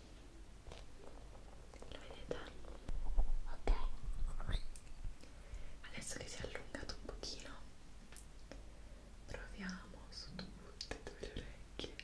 lo vedete? ok adesso che si è allungato un pochino proviamo su tutte e due le orecchie ok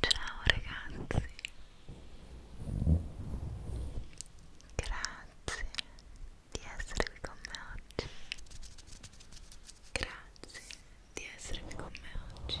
Ciao ragazzi, grazie di essere qui con me oggi. Grazie di essere qui con me oggi.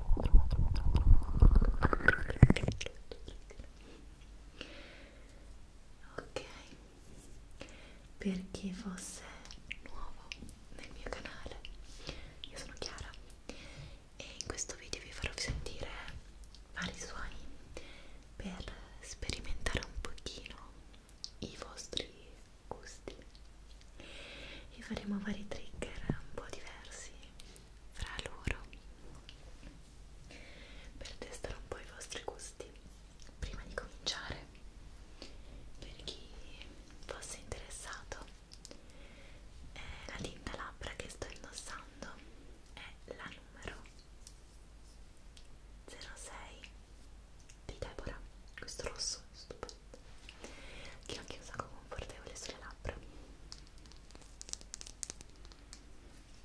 ok per chi fosse nuovo nel mio canale io sono Chiara e in questo video vi farò sentire vari suoni per sperimentare un pochino i vostri gusti e faremo vari trigger un po' diversi fra loro per testare un po' i vostri gusti prima di cominciare per chi fosse interessato eh, la tinta labbra che sto indossando è la numero 06 di Deborah questo rosso è stupendo che l'ho chiusa con confortevole sulle labbra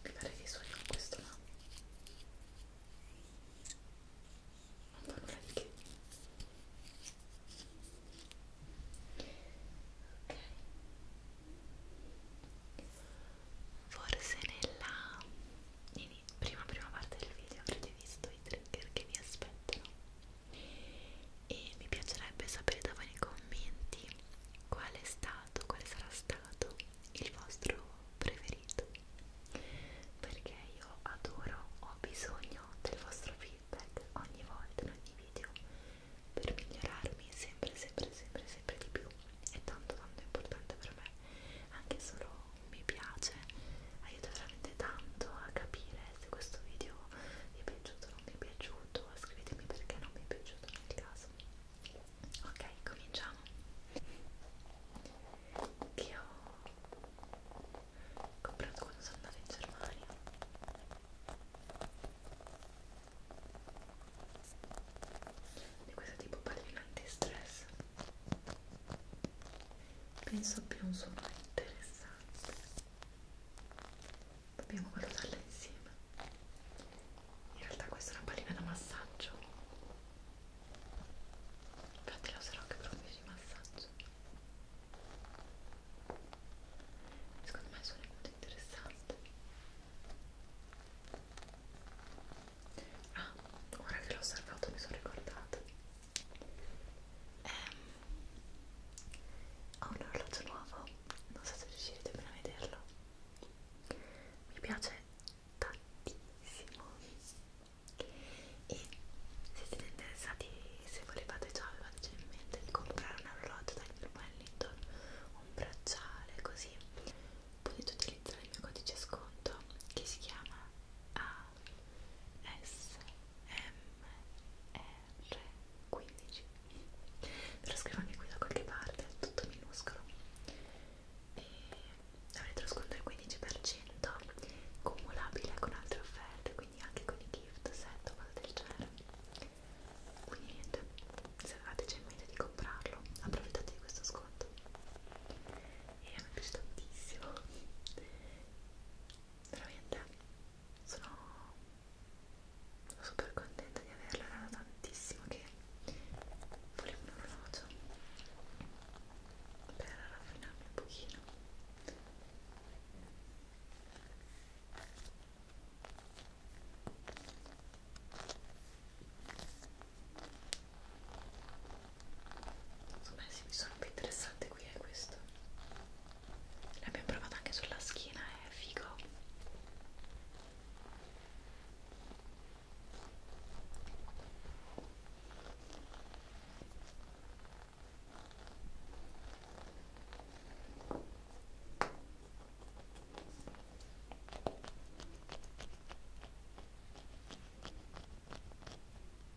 mi pare che suoni con questo no? non fa nulla di che ok forse nella prima prima parte del video avrete visto i trigger che vi aspettano e mi piacerebbe sapere da voi nei commenti qual è stato, quale sarà stato il vostro preferito perché io adoro, ho bisogno del vostro feedback ogni volta in ogni video per migliorarmi sempre sempre sempre sempre di più è tanto tanto importante per me anche solo un mi piace aiuta veramente tanto a capire se questo video vi è piaciuto o non vi è piaciuto, scrivetemi perché non mi è piaciuto nel caso. Ok, cominciamo. Che ho comprato quando sono andata in Germania. Di questo tipo pallino anti-stress. Penso abbia un suono interessante dobbiamo valutarla insieme in realtà questa è una pallina da massaggio infatti la userò anche per un video di massaggio secondo me sono molto interessante ah ora che l'ho osservato mi sono ricordata eh, ho un orologio nuovo non so se riuscirete bene a vederlo mi piace tantissimo e se siete interessati se volevate già avevate in mente di comprare un orologio dal mio Wellington un bracciale così potete utilizzare il mio codice sconto che si chiama a ASMR15 ve lo scrivo anche qui da qualche parte, tutto minuscolo e avrete lo sconto del 15% cumulabile con altre offerte quindi anche con i gift set o cose del genere quindi niente, se avevate già in mente di comprarlo approfittate di questo sconto e a me piace tantissimo veramente sono super contenta di averla era tantissimo che volevo un orologio per raffinarmi un pochino Insomma, sì, mi sono più interessante qui è eh, questo l'abbiamo provato anche sulla schiena è figo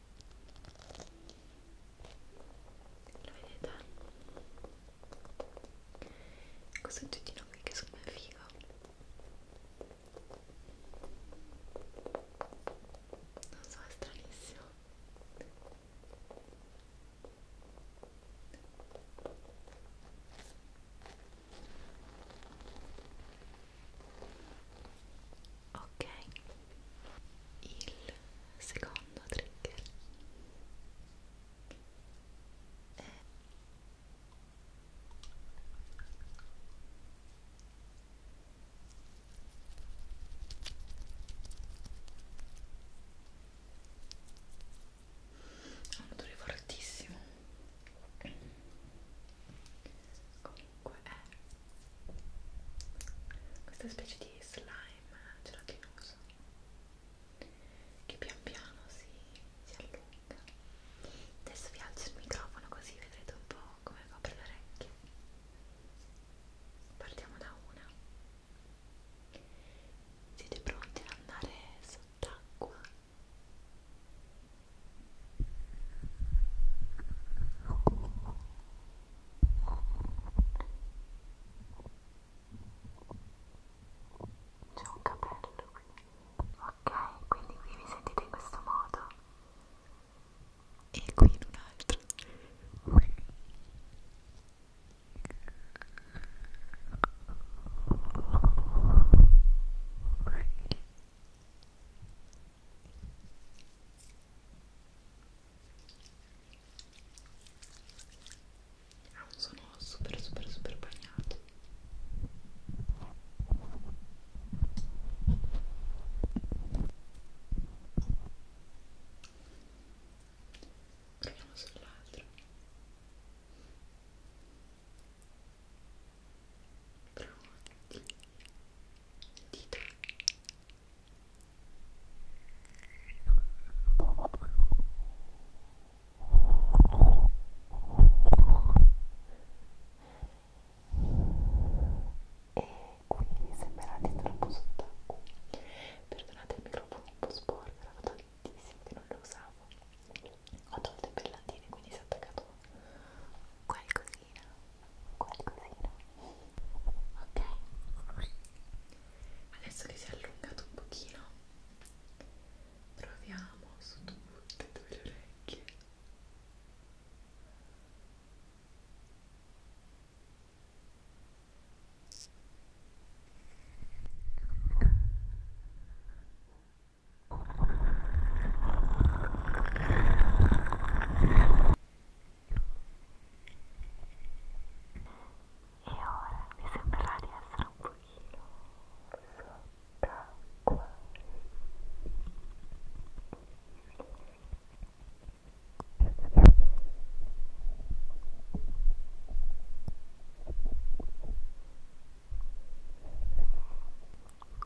lo vedete? questo oggettino qui che secondo me è figo non so, è stranissimo ok il secondo trigger è ha un odore fortissimo comunque è questa specie di slime gelatinoso che pian piano si, si allunga adesso vi alzo il microfono così vedrete un po' come copre le orecchie partiamo da una siete pronti ad andare sott'acqua? C'è un capello qui. Ok, quindi qui vi sentite in questo modo. E qui in un altro. Ok, ha ah, un suono super super super bagnato proviamo sull'altro pronti dita e quindi mi sembra di troppo sott'acqua perdonate il microfono un po' sporco era tantissimo che non lo usavo ho tolto i pellatini quindi si è attaccato qualcosina qualcosina ok adesso che si è allungato un pochino proviamo su tutte e due le orecchie ok e ora mi sembrerà di essere un pochino sott'acqua.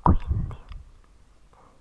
Quindi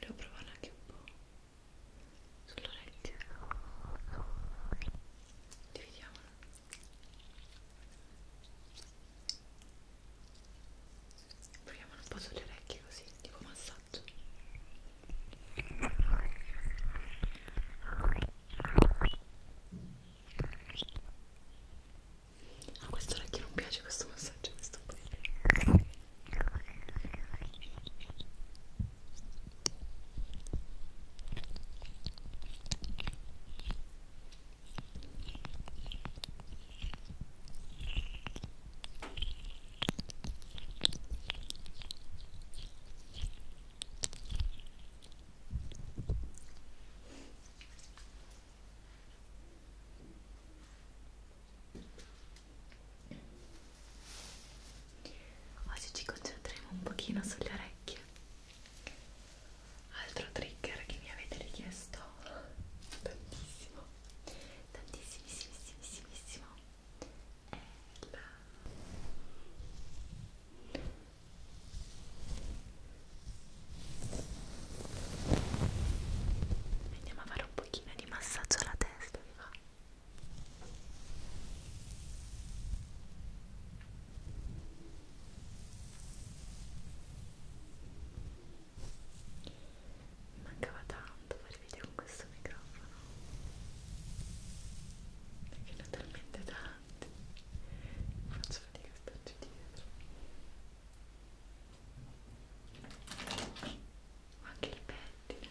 Volevo provare anche un po' sull'orecchio. Dividiamola. Proviamo un po' sulle orecchie così, tipo massaggio. A questo orecchio non piace questo massaggio, questo qui. Ora Oggi ci concentreremo un pochino sulle orecchie altro trigger che mi avete richiesto tantissimo tantissimissimo è la andiamo a fare un pochino di massaggio alla testa vi va? Ecco. Mi mancava tanto fare video con questo microfono perché ne ho talmente tanti faccio fatica a starci dietro ma anche il pettine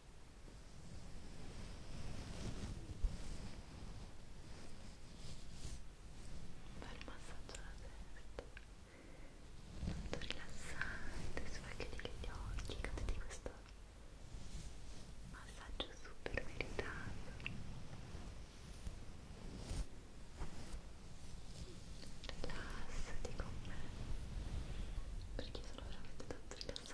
Fai il massaggio alla testa molto rilassante, sfacchiti gli occhi, goditi questo massaggio super meritato rilassati con me perché sono veramente tanto rilassata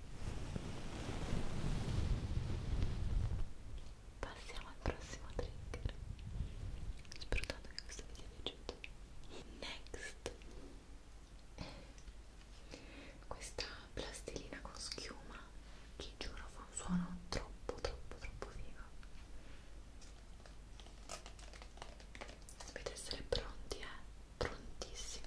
Passiamo al prossimo trigger. Spero tanto che questo vi sia piaciuto. Next questa plastilina con schiuma che giuro fa un suono troppo troppo troppo vivo dovete essere pronti eh prontissimi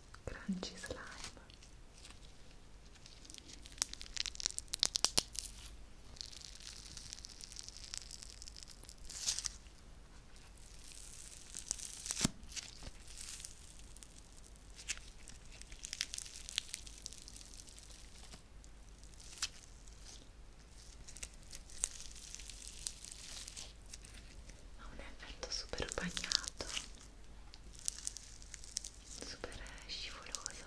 crunchy slime ha un effetto super bagnato super scivoloso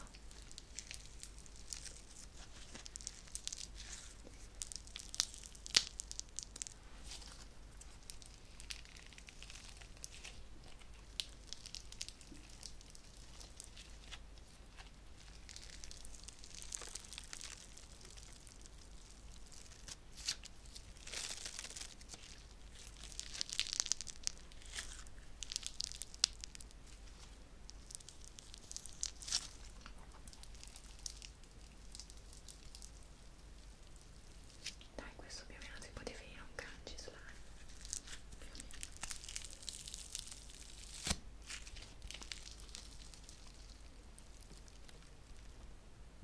dai, questo più o meno si può definire un crunchy slime.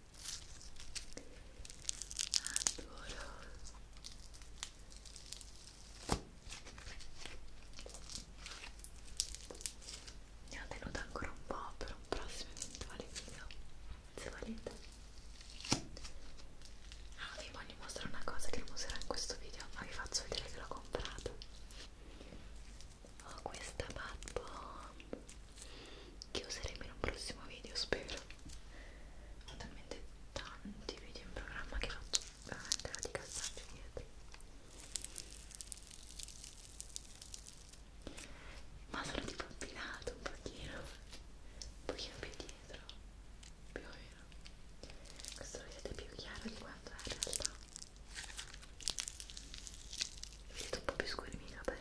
adoro ne ho tenuto ancora un po' per un prossimo eventuale video se volete ah, vi voglio mostrare una cosa che non userò in questo video ma vi faccio vedere che l'ho comprato ho questa bad bomb che useremo in un prossimo video spero ho talmente tanti video in programma che faccio veramente la di cazzarci dietro ma sono tipo abbinato un pochino un pochino più dietro più o meno questo lo vedete più chiaro di quanto è in realtà vedete un po' più scuri i miei capelli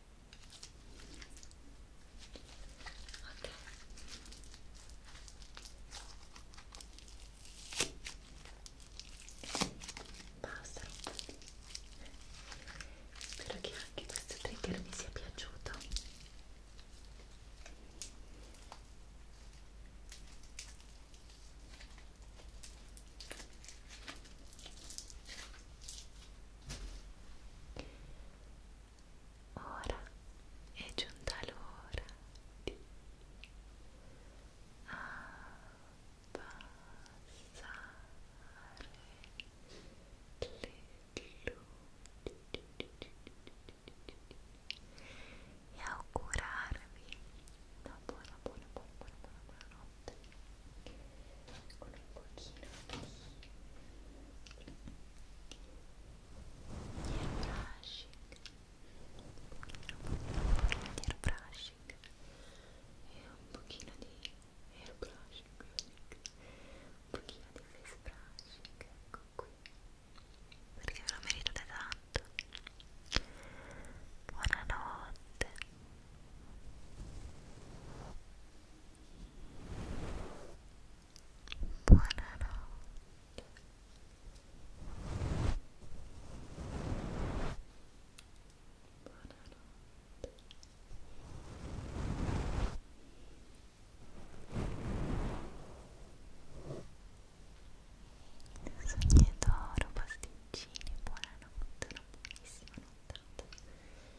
ok basta spero che anche questo trigger vi sia piaciuto ok Ora è giunta l'ora di abbassare le luci e augurarvi una buona buona buona buona buona, buona notte con un pochino di airbrushing eh, un pochino, un pochino di airbrushing e un pochino di airbrushing un pochino di face brushing ecco qui perché ve lo meritate tanto buonanotte Sogni d'oro, pasticcini, buonanotte, una buonissima nottata